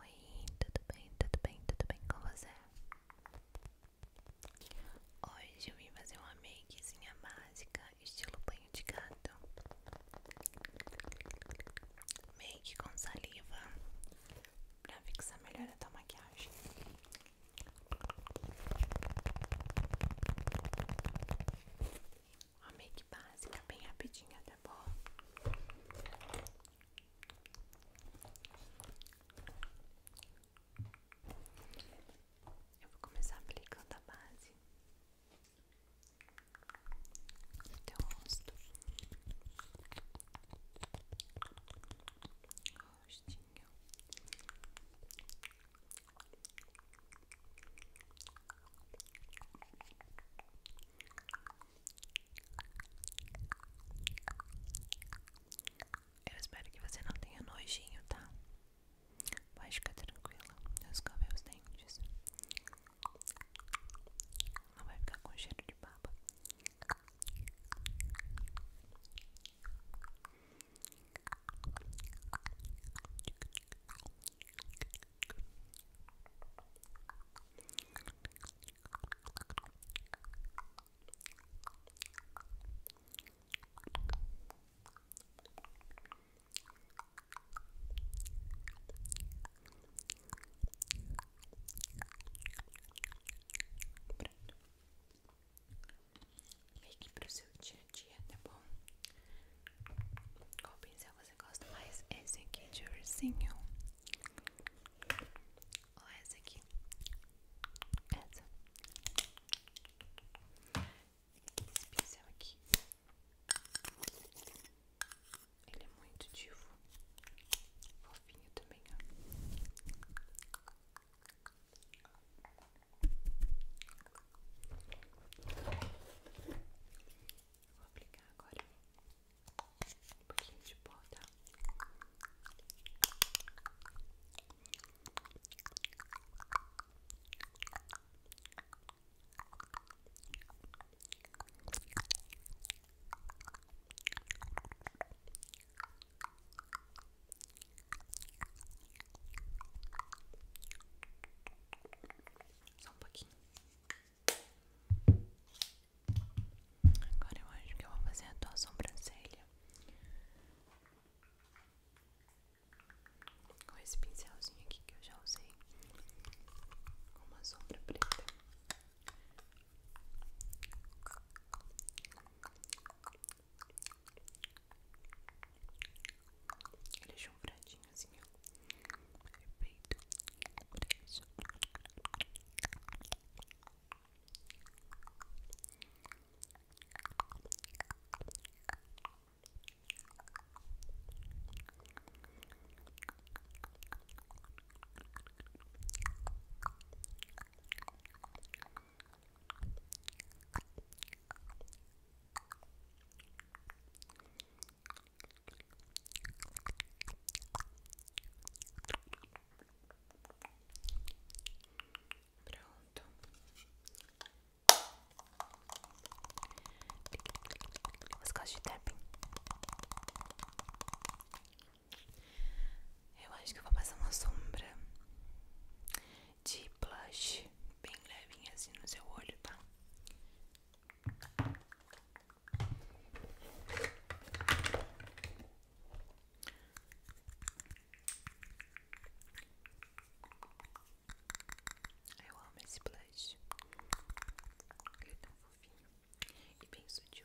Oi, tudo bem, tudo bem, tudo bem com você? Hoje eu vim fazer uma makezinha básica, estilo banho de gato Make com saliva, pra fixar melhor a tua maquiagem uma make básica, bem rapidinho, tá bom? Eu vou começar aplicando a base no teu rosto. Rostinho. Eu espero que você não tenha nojinho, tá? Pode ficar tranquila. Eu escovei os dentes. Não vai ficar com cheiro de baba que para o seu dia a dia, tá bom? Qual gosto mais? Esse aqui de urzinho, ou essa aqui? Essa Esse pincel aqui Ele é muito divo Fofinho também, vou aplicar agora um pouquinho de pó, tá? Só um pouquinho. Agora eu acho que eu vou fazer a tua sobrancelha com esse pincelzinho aqui que eu já usei com uma sombra preta. Ele chanfradinho assim, Perfeito. Preço. Pronto. Você gosta de tapping? Eu acho que vou passar uma sombra de blush bem levinha assim no seu olho, tá? Eu amo esse blush. Ele é tão fofinho e bem sutil.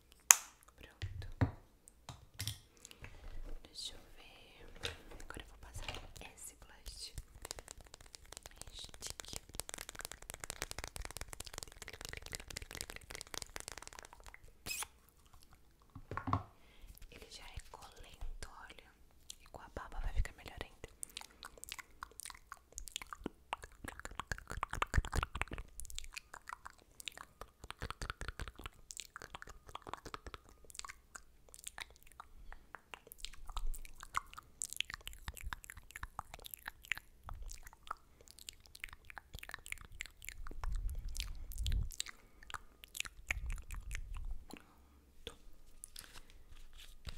Pronto. Deixa eu ver. Agora eu vou passar esse blush. Ele já é colento, olha. E com a baba vai ficar melhor ainda. Pronto.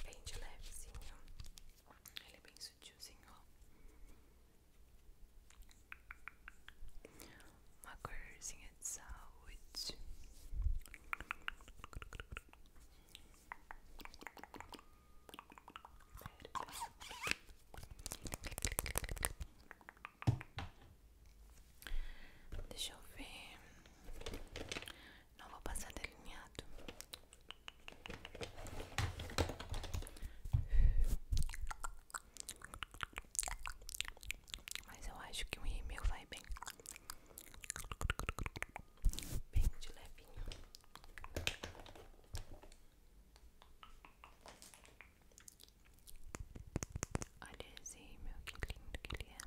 Bem de levezinho. Ele é bem tiozinho, Uma corzinha de saúde. Deixa eu ver. Não vou passar delineado. Mas eu acho que o e-mail vai bem Bem de levinho Olha esse mail que lindo que ele é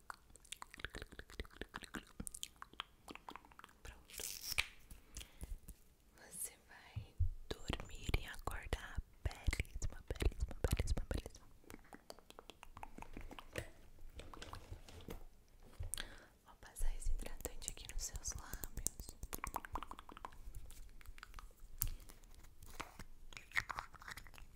Pronto. Você vai dormir e acordar belíssima, belíssima, belíssima, belíssima. Vou passar esse hidratante aqui nos seus lábios.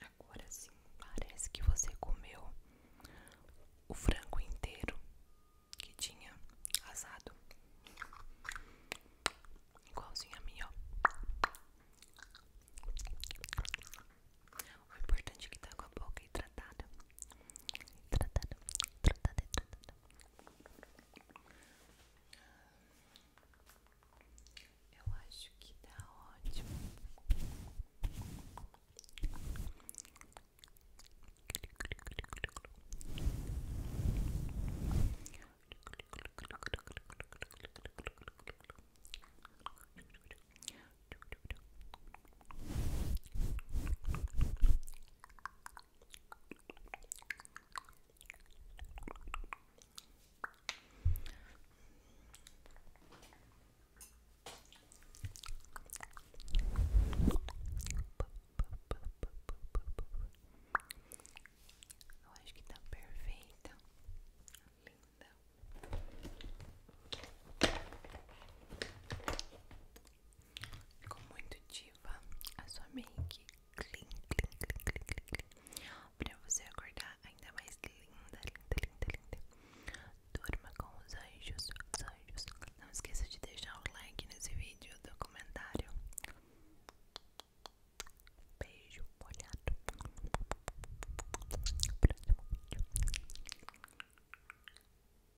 Agora sim, parece que você comeu o frango inteiro que tinha assado. Igualzinho a mim, ó. O importante é que tá com a boca hidratada. Hidratada, hidratada, hidratada. Eu acho que tá ótimo. Eu acho que está perfeita, linda. Ficou muito diva a sua make clean, clean, clean, clean, clean, clean. Pra você acordar ainda mais linda, linda, linda, linda Durma com os anjos, os anjos Não esqueça de deixar o like nesse vídeo do comentário Beijo molhado Próximo vídeo